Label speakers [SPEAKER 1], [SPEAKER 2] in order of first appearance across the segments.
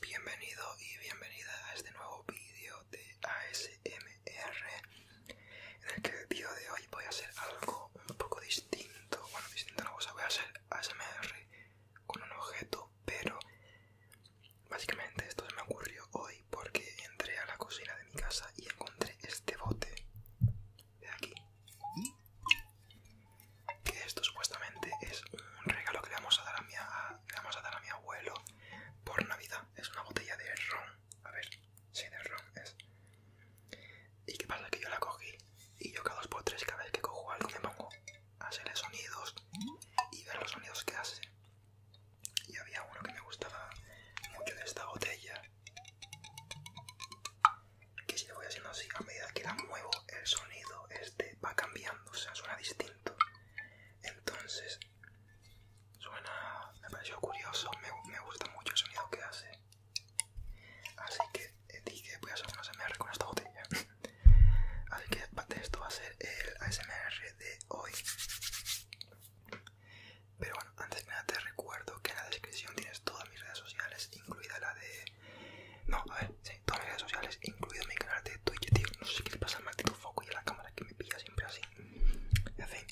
[SPEAKER 1] Bienvenido y bienvenida a este nuevo vídeo de ASMR En el que el vídeo de hoy voy a hacer algo un poco distinto Bueno, distinto no, voy a hacer ASMR con un objeto Pero básicamente esto se me ocurrió hoy porque entré a la cocina de mi casa y encontré este bote de aquí. Que esto supuestamente es un regalo que le vamos a dar a mi, vamos a dar a mi abuelo por Navidad. Es una botella de ron. A ver, si de ron es. ¿Y que pasa? Que yo la cogí y yo cada dos por tres, cada vez que cojo algo, me pongo a hacerle sonidos y ver los sonidos que hace. Y había uno que me gustaba mucho de esta botella que si lo voy haciendo así a medida que la muevo el sonido este va cambiando o sea suena distinto entonces suena me pareció curioso me, me gusta mucho el sonido que hace así que eh, dije voy a hacer un ASMR con esta botella así que esto va a ser el ASMR de hoy pero bueno, antes que nada te recuerdo que en la descripción tienes todas mis redes sociales, incluida la de no, a ver, sí, todas mis redes sociales, incluido mi canal de Twitch, tío. No sé qué le pasa al maldito foco y a la cámara que me pilla siempre así. En fin,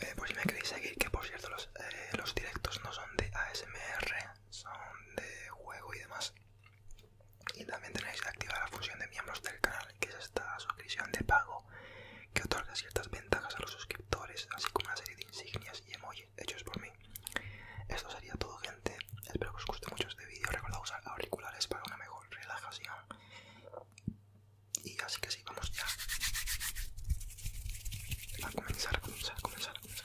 [SPEAKER 1] eh, por si me queréis seguir, que por cierto, los, eh, los directos no son de ASMR, son de juego y demás. Y también tenéis que activar la función de miembros del canal, que es esta suscripción de pago que otorga ciertas ventajas a los suscriptores, así como una serie de insignias y emojis hechos por mí. Esto sería todo, gente. Espero que os guste mucho este vídeo. Recordad usar auriculares para una mejor relajación. Y así que sí, vamos ya a comenzar, comenzar, a comenzar, a comenzar, a comenzar.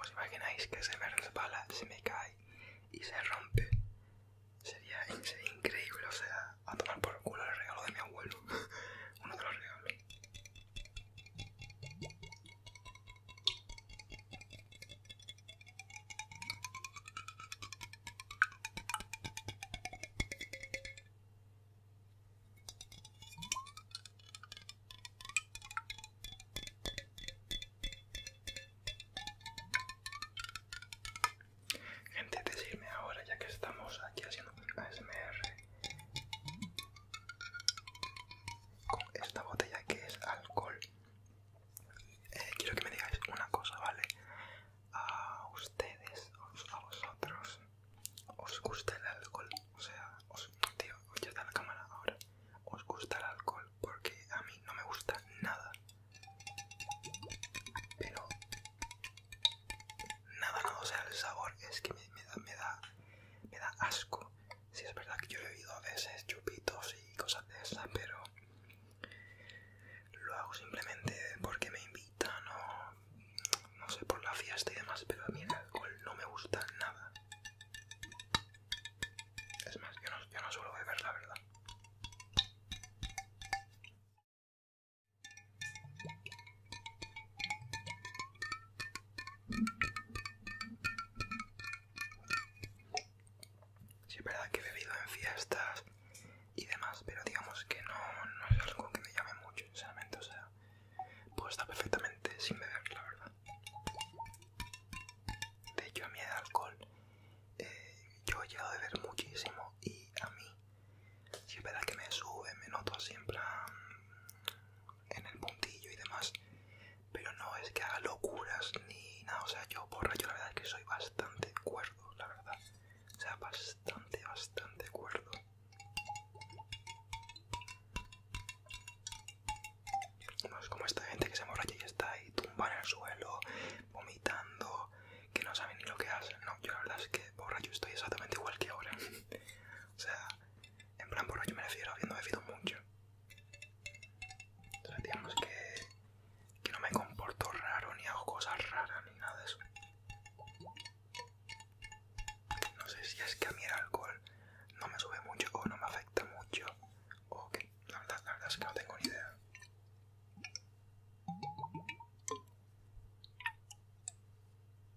[SPEAKER 1] ¿Os imagináis que se me resbala, se me cae y se rompe? Sería, sería increíble, o sea, a tomar por culo el regalo de mi abuelo. Uno de los regalos. Gente, decirme ahora, ya que estamos aquí haciendo un ASMR, con esta botella que es alcohol. Eh, quiero que me digáis una cosa, ¿vale? A ustedes, a vosotros, ¿os gusta el alcohol? O sea, os, tío, ya la cámara ahora. ¿Os gusta el alcohol? Porque a mí no me gusta nada. Pero... Nada, no, o sea, el sabor es que da, me da... Me da asco. Sí, es verdad que yo he bebido a veces chupitos y cosas de esas, pero lo hago simplemente porque me invitan o no sé, por la fiesta y demás, pero a mí el alcohol no me gusta nada. Es más, no, yo no suelo beber, la verdad. Sí, es verdad que he bebido en fiestas y demás, pero digamos que no, es algo que me llame mucho, sinceramente. O sea, puedo estar perfectamente sin beber, la verdad. De hecho, a mí el alcohol, eh, yo he llegado a beber muchísimo y a mí, si es verdad que me sube, me noto siempre en el puntillo y demás, pero no es que haga locuras ni nada, o sea, yo borracho yo la verdad es que soy bastante cuerdo, la verdad, o sea, bastante, bastante cuerdo. No es como esta gente que se morra y está ahí tumba en el suelo, vomitando, que no sabe ni lo que hacen. No, yo la verdad es que borracho estoy exactamente igual que ahora. o sea, en plan por yo me refiero, me fido mucho. Entonces que, que no me comporto raro, ni hago cosas raras, ni nada de eso. No sé si es que a mí el alcohol no me sube mucho o no me afecta mucho. O que la verdad es que no tengo ni idea.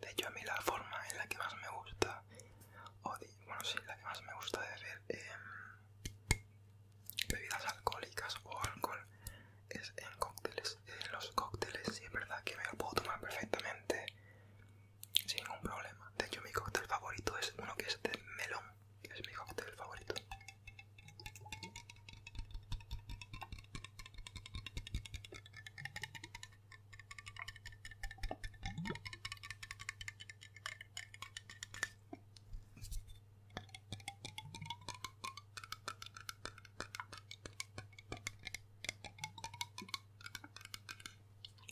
[SPEAKER 1] De hecho, a mí la forma en la que más me gusta, o bueno, sí, la que más me gusta de beber em, bebidas alcohólicas o alcohol es en cócteles. En los cócteles sí es verdad que me lo puedo tomar perfectamente sin ningún problema. De hecho, mi cóctel favorito es uno que es de melón, que es mi cóctel favorito.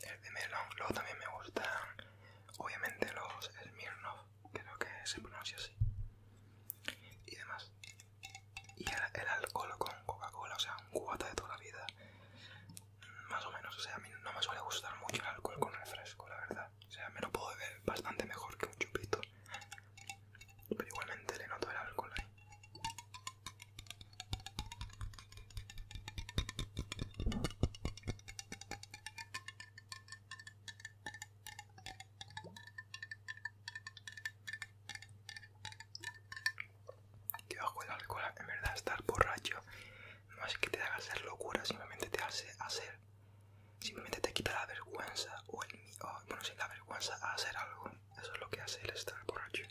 [SPEAKER 1] El de melón, luego también me gustan, obviamente, los Smirnoff, creo que se pronuncia así, y demás y el, alcohol con Coca-Cola, o sea, un cubata de toda la vida. Más o menos, o sea, a mí no me suele gustar mucho el alcohol con refresco, la verdad. O sea, me lo puedo beber bastante mejor que un chupito. Pero igualmente le noto el alcohol ahí. Que bajo el alcohol, en verdad, estar borracho no es que te haga hacer locura, simplemente te hace hacer. Simplemente te quita la vergüenza o bueno, sin la vergüenza hacer algo. Eso es lo que hace el estar borracho.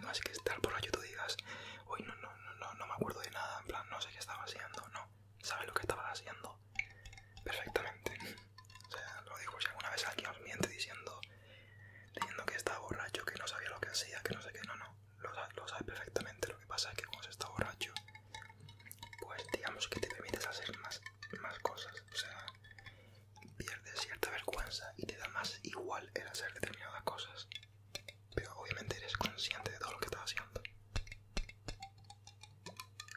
[SPEAKER 1] No es que estar borracho tú digas, uy no, no, no, no, me acuerdo de nada, en plan, no sé qué estaba haciendo, no. Sabes lo que estaba haciendo, perfectamente. O sea, lo dijo si alguna vez alguien os miente diciendo, diciendo que estaba borracho, que no sabía lo que hacía, que no sé qué, no, no. Lo, sabes perfectamente. Lo que pasa es que cuando se está borracho, pues digamos que te permites hacer más, más cosas. O sea, pierdes cierta vergüenza y te da más igual el hacer determinadas cosas. Pero obviamente eres consciente de todo lo que estás haciendo.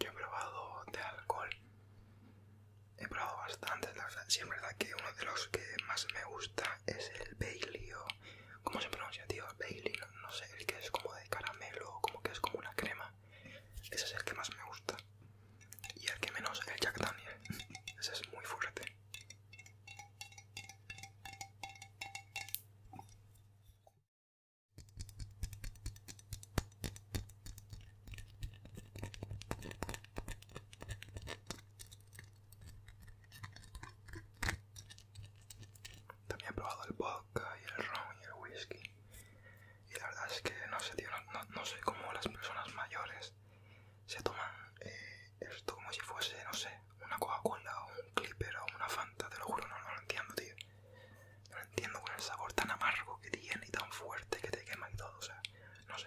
[SPEAKER 1] Yo he probado de alcohol. He probado bastante, la Sí, es verdad que uno de los que más me gusta es el Bailey o... ¿Cómo se pronuncia, tío? Bailey, no, sé, el que es como de caramelo o como que es como una crema. Ese es el que más me gusta. Y el que menos, el Jack Daniel. Ese es muy fuerte. También he probado el vodka y el ron y el whisky. Y la verdad es que no sé, no, sé cómo las personas mayores se toman eh, esto como si fuese, no sé, una Coca-Cola o un Clipper o una Fanta, te lo juro, no, no lo entiendo, tío. No lo entiendo con el sabor tan amargo que tiene y tan fuerte que te quema y todo, o sea, no sé.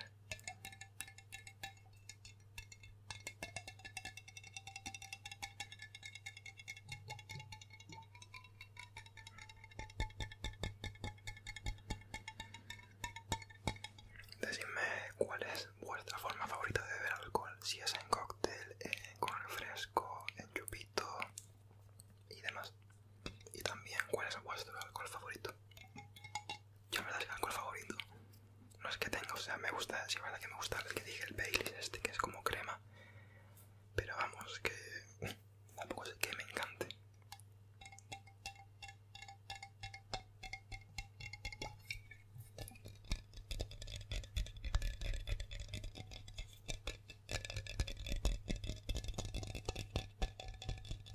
[SPEAKER 1] Decidme cuál es vuestra forma favorita de beber alcohol, si es en cóctel, en eh, refresco, en chupito y demás. Y también cuál es vuestro alcohol favorito. Yo la verdad es que alcohol favorito no es que tenga, o sea, me gusta, sí, es verdad que me gusta el que dije, el Baileys este, que es como crema. Pero vamos, que tampoco es que me encante.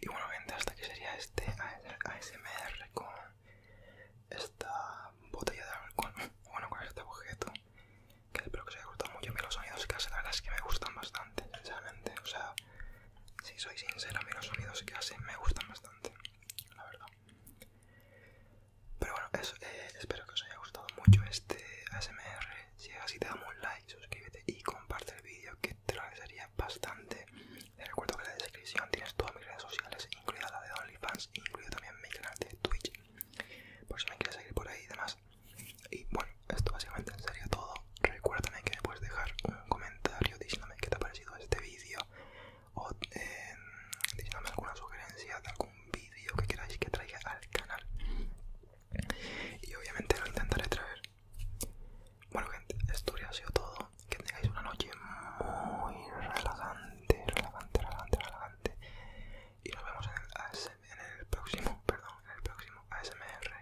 [SPEAKER 1] Y bueno gente, hasta aquí sería este ASMR con esta botella de alcohol, bueno con este objeto, que espero que os haya gustado mucho. Miren los sonidos que hacen, la verdad es que me gustan bastante, sinceramente. O sea, si soy sincero, a los sonidos que hacen me gustan bastante la verdad. Pero bueno, eh, espero que os haya gustado mucho este ASMR. Si es así, te damos un like, suscríbete y comparte el vídeo que te lo agradecería bastante. Te recuerdo que en la descripción tienes todas mis redes sociales, incluida la de OnlyFans, incluido también mi canal de Twitch. Por si me quieres seguir por ahí y demás. Y bueno, esto básicamente sería todo. Recuérdame que me puedes dejar un comentario diciéndome qué te ha parecido este vídeo o em, díganme alguna sugerencia de algún vídeo que queráis que traiga al canal y obviamente lo intentaré traer bueno gente esto ya ha sido todo que tengáis una noche muy relajante relajante relajante relajante y nos vemos en el próximo perdón en el próximo ASMR